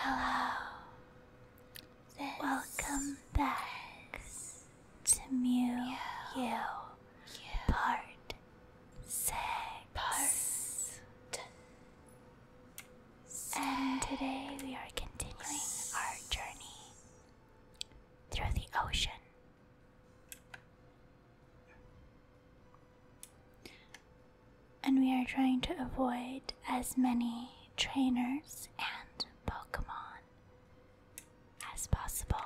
Hello. Welcome back to Mew You, you Part 6. So today we are continuing our journey through the ocean. And we are trying to avoid as many trainers and Pokemon as possible.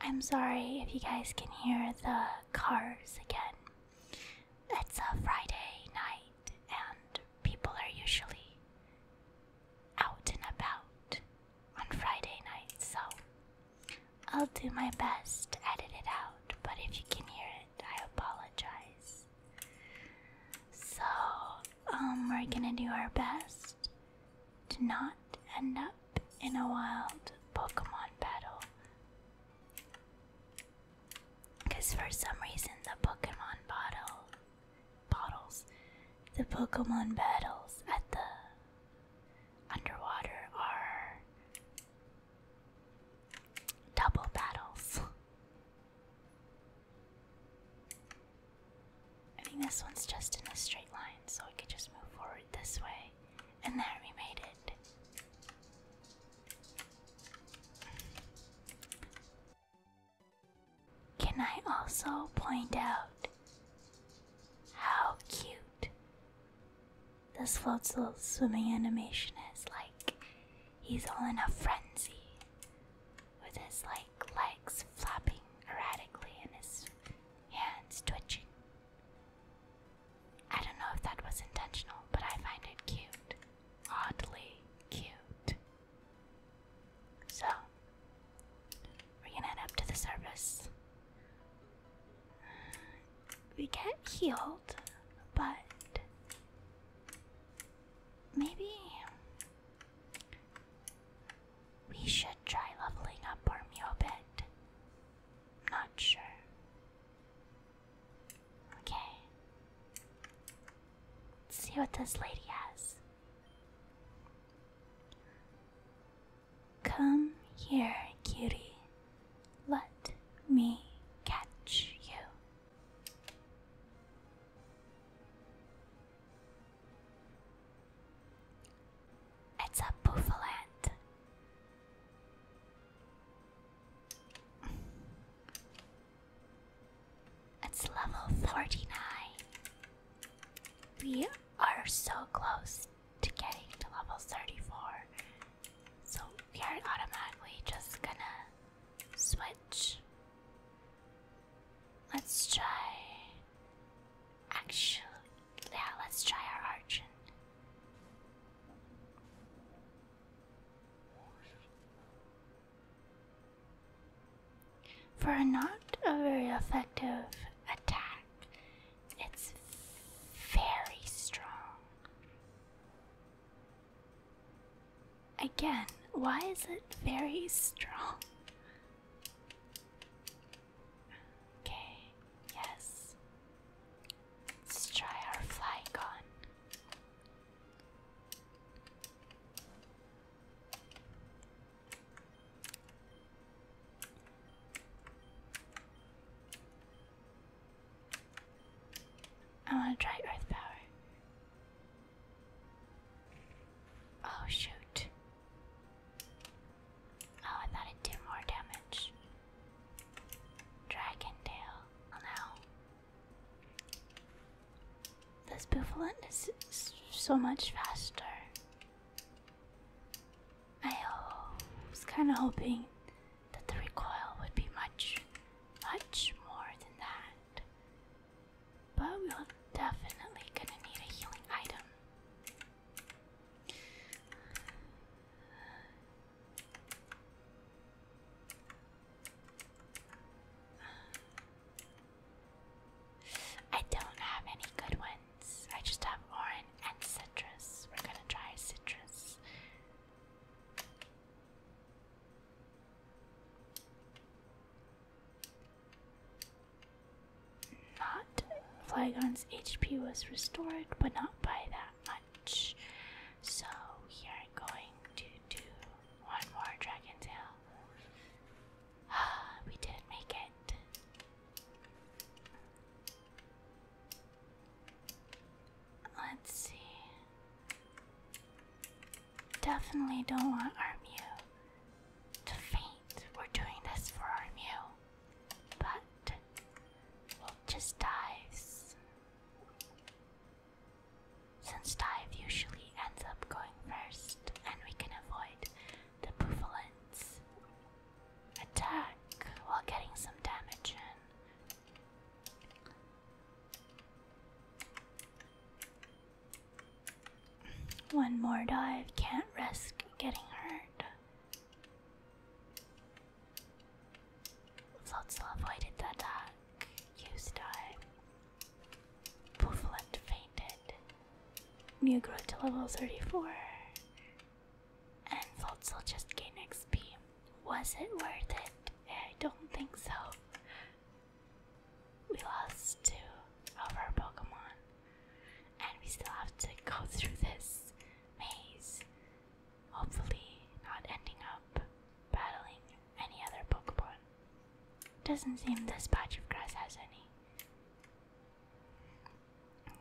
I'm sorry if you guys can hear the cars again. It's a Friday night, and people are usually out and about on Friday night, so I'll do my best to edit it out, but if you can hear it, I apologize. So, um, we're gonna do our best to not end up in a wild Pokemon battle. Because for some reason, the Pokemon bottle. Bottles. The Pokemon battles at the underwater are double battles. I think this one's just in a straight line, so I could just move forward this way and there we made it. Can I also point out how cute this float's little swimming animation is? Like, he's all in a frenzy with his like legs flapping erratically and his hands twitching. I don't know if that was intentional, but I find it cute. Oddly cute. So, we're gonna head up to the service. Mm, we get healed, but maybe we should try leveling up our meal bit. Not sure. Okay. Let's see what this lady has. Come here, cutie. Let me catch you. It's a boofalant. It's level 49. We are so close to getting to level 34. So we are automatically just gonna switch. Let's try. Actually, yeah, let's try our Archon. For not a very effective attack, it's very strong. Again, why is it very strong? Okay, yes. Let's try our fly gun. I want to try Earth Power. Oh, shoot. Oh, I thought it did more damage. Dragon tail. Oh no. This Buffalant is so much faster. I was kind of hoping that the recoil would be much, much more than that. But we'll definitely gonna need a healing item. I don't have any good ones. I just have orange and citrus. We're gonna try citrus. Not Flygon's HP was restored, but not by that much. So we are going to do one more dragon tail. Ah, we did make it. Let's see. Definitely don't want Armew to faint. We're doing this for our Mew, but just dies. Since dive usually ends up going first, and we can avoid the Buffalin's attack while getting some damage in. One more dive, can't risk getting hurt. Flotsam avoided the attack, used dive. Poofland fainted. Mew grew to level 34. And Flotsam just gained XP. Was it worth it? I don't think so we lost two of our Pokemon, and we still have to go through this maze. Hopefully, not ending up battling any other Pokemon. Doesn't seem this patch of grass has any.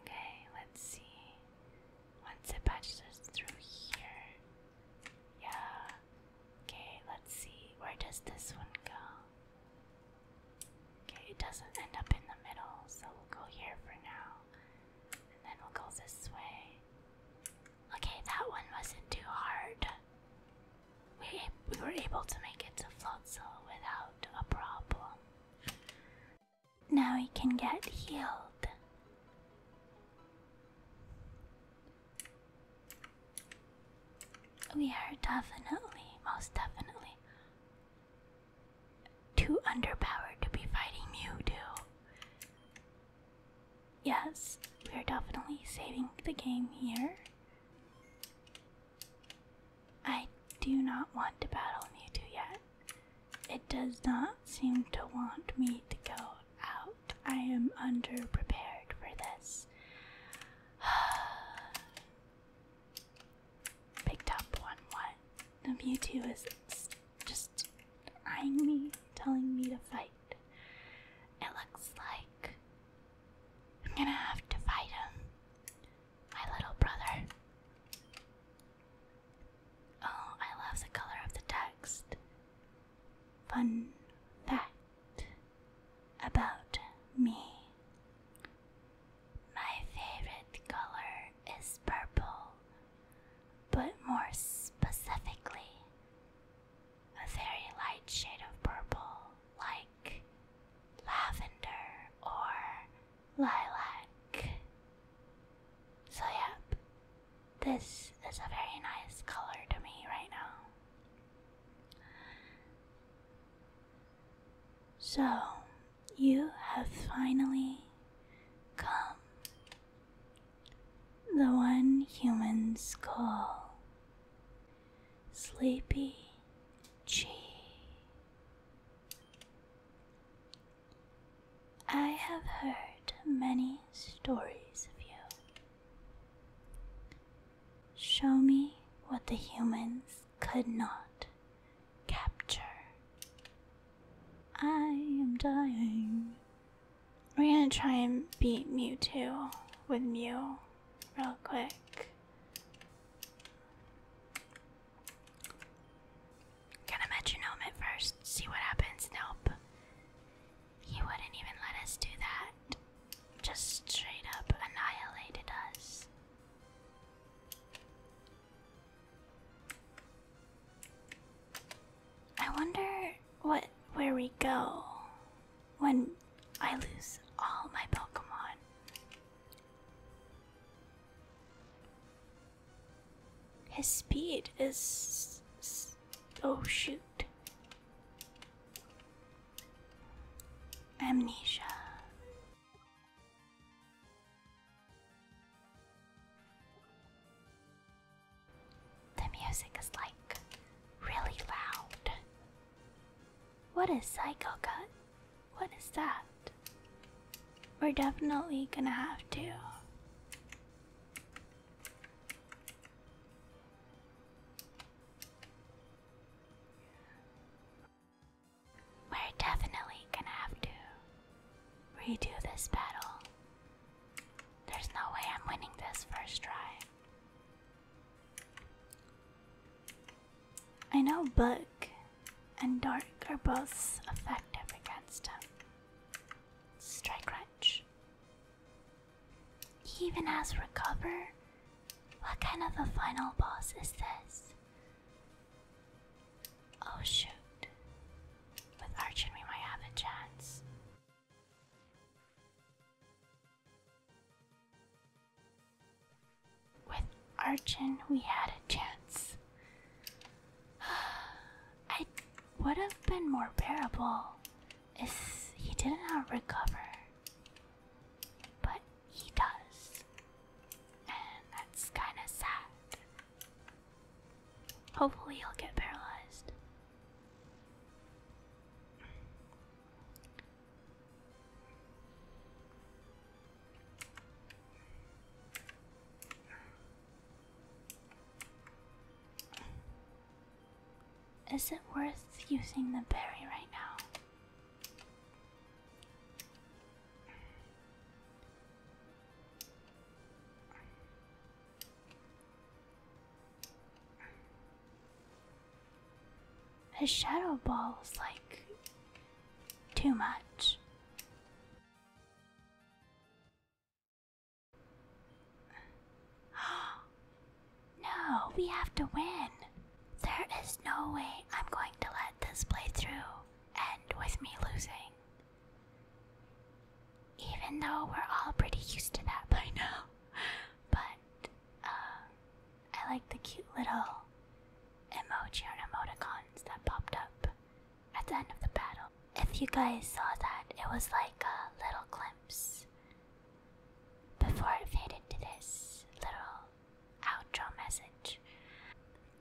Okay, let's see. Once it patches us through here. Yeah. Okay, let's see. Where does this one go? Okay, it doesn't end up in the middle, so we'll go here for now. And then we'll go this way. Okay, that one wasn't too hard. We, we were able to make it to Flotsel without a problem. Now we can get healed. We are definitely, most definitely, too underpowered to be fighting Mewtwo. Yes, we are definitely saving the game here. I do not want to battle Mewtwo yet. It does not seem to want me to go out. I am underprepared for this. Picked up one. What? The Mewtwo is just eyeing telling me to fight. It looks like I'm gonna have to fight him, my little brother. Oh, I love the color of the text. Fun fact about me. My favorite color is purple, but more specifically, a very light shade of purple like lavender or lilac. So, yep, this is a very nice color to me right now. So, you have finally come. The one humans call Sleepy G. I have heard many stories of you. Show me what the humans could not capture. I am dying. We're gonna try and beat Mewtwo with Mew real quick. Gonna metronome it first, see what happens. Nope. He wouldn't even let us do that. Just straight up annihilated us. I wonder what where we go when I lose all my Pokemon. His speed is Oh shoot. Amnesia. The music is like really loud. What is Psycho Cut? What is that? We're definitely gonna have to. We're definitely gonna have to redo this battle. There's no way I'm winning this first try. I know Book and Dark are both effective against him. Strike Wrench. He even has recover. What kind of a final boss is this? Oh shoot. With Archon, we might have a chance. With Archon, we had a chance. I would have been more bearable he did not uh, recover, but he does, and that's kind of sad. Hopefully, he'll get paralyzed. Is it worth using the berry right now? His shadow ball is like too much. no, we have to win. There is no way I'm going to let this playthrough end with me losing. Even though we're all pretty used to that by now. But, uh, I like the cute little emoji and emoticons that popped up at the end of the battle. If you guys saw that, it was like a little glimpse before it faded to this little outro message.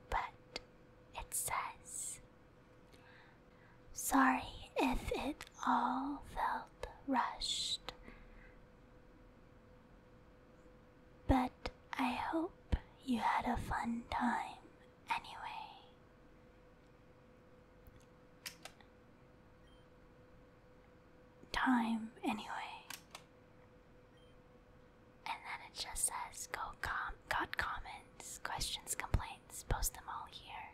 But it says, Sorry if it all felt rushed, but I hope you had a fun time anyway. Time, anyway. And then it just says go com got comments, questions, complaints, post them all here.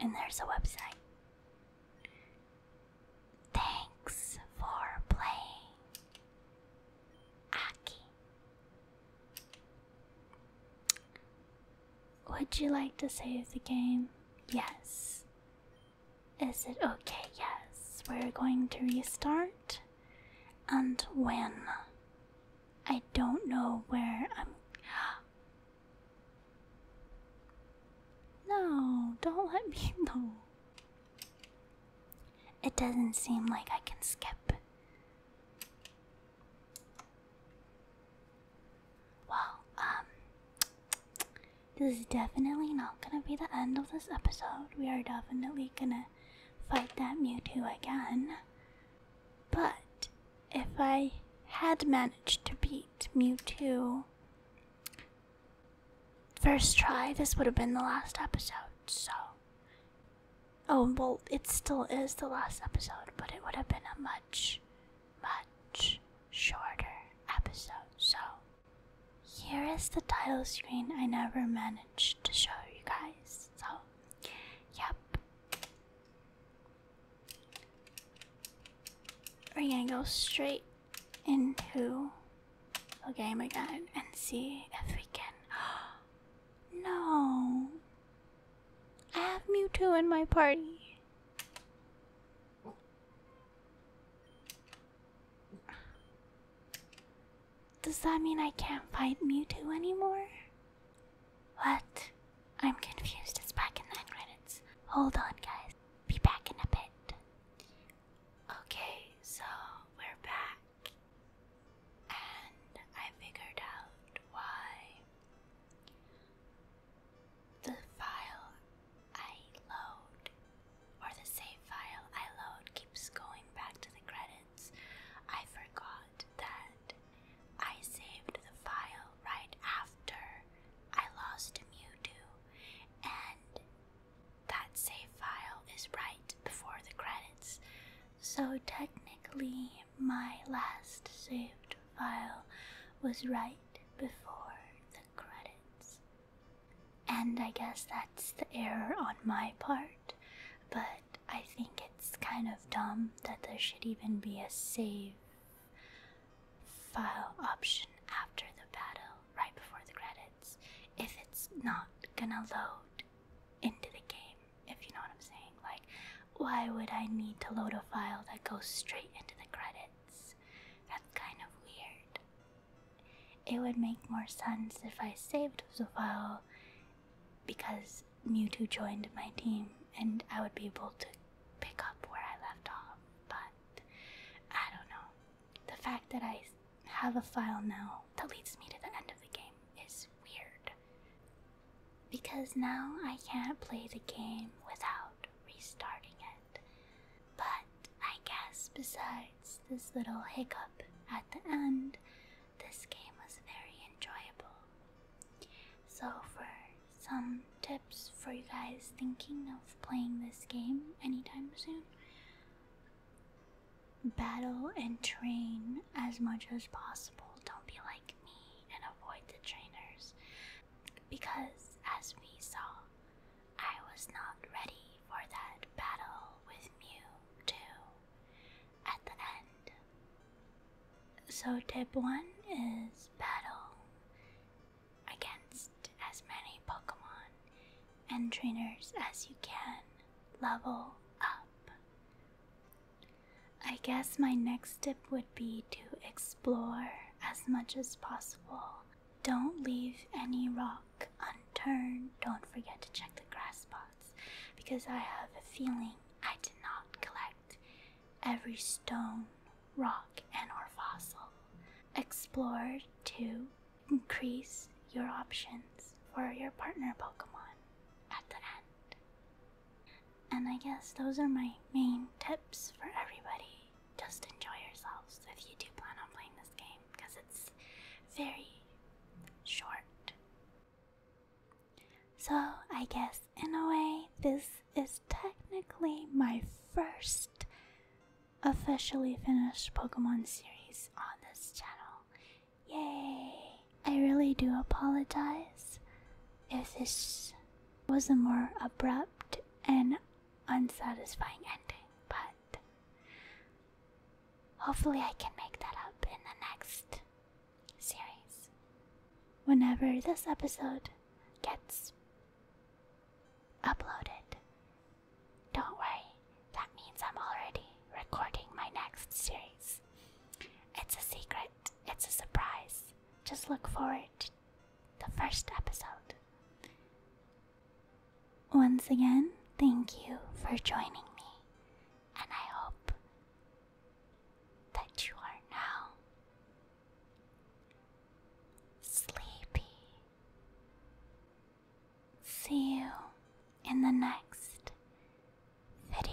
And there's a website. Thanks for playing. Aki. Would you like to save the game? Yes. Is it okay? Yes. We're going to restart. And when? I don't know where I'm. No, don't let me know. It doesn't seem like I can skip. Well, um, this is definitely not gonna be the end of this episode. We are definitely gonna fight that Mewtwo again. But if I had managed to beat Mewtwo first try, this would have been the last episode, so Oh, well, it still is the last episode, but it would have been a much, much shorter episode. So, here is the title screen I never managed to show you guys. So, yep. We're gonna go straight into Okay, oh my god, and see if we can. no, I have Mewtwo in my party. Does that mean I can't fight Mewtwo anymore? What? I'm confused. It's back in the credits. Hold on, guys. Be back in a bit. Okay, so we're back and I figured out why the file I load or the save file I load keeps going back to the credits. I forgot that I saved the file right after I lost to Mewtwo and that save file is right before the credits, so technically my last saved file was right before the credits. And I guess that's the error on my part, but I think it's kind of dumb that there should even be a save file option after the battle, right before the credits if it's not gonna load into the game, if you know what I'm saying. Like, why would I need to load a file that goes straight into the credits? That's kind of weird. It would make more sense if I saved the file because Mewtwo joined my team and I would be able to pick up where I left off, but I don't know. The fact that I have a file now that leads me to the end of the game is weird. Because now I can't play the game without restarting it. But I guess besides this little hiccup at the end, this game was very enjoyable. So, for some tips for you guys thinking of playing this game anytime soon, battle and train as much as possible. Don't be like me and avoid the trainers. Because, as we saw, I was not ready for that battle with Mew 2 at the end. So, tip 1 is battle against as many Pokemon and trainers as you can. Level up. I guess my next tip would be to explore as much as possible. Don't leave any rock unturned. Don't forget to check the grass spots because I have a feeling I did not collect every stone, rock, and or fossil. Explore too increase your options for your partner Pokemon at the end. And I guess those are my main tips for everybody. Just enjoy yourselves if you do plan on playing this game because it's very short. So, I guess in a way, this is technically my first officially finished Pokemon series on this channel. Yay! I really do apologize if this was a more abrupt and unsatisfying ending, but hopefully I can make that up in the next series. Whenever this episode gets uploaded, don't worry, that means I'm already recording my next series. It's a secret, it's a surprise. Just look forward to the first episode. Once again, thank you for joining me, and I hope that you are now sleepy. See you in the next video.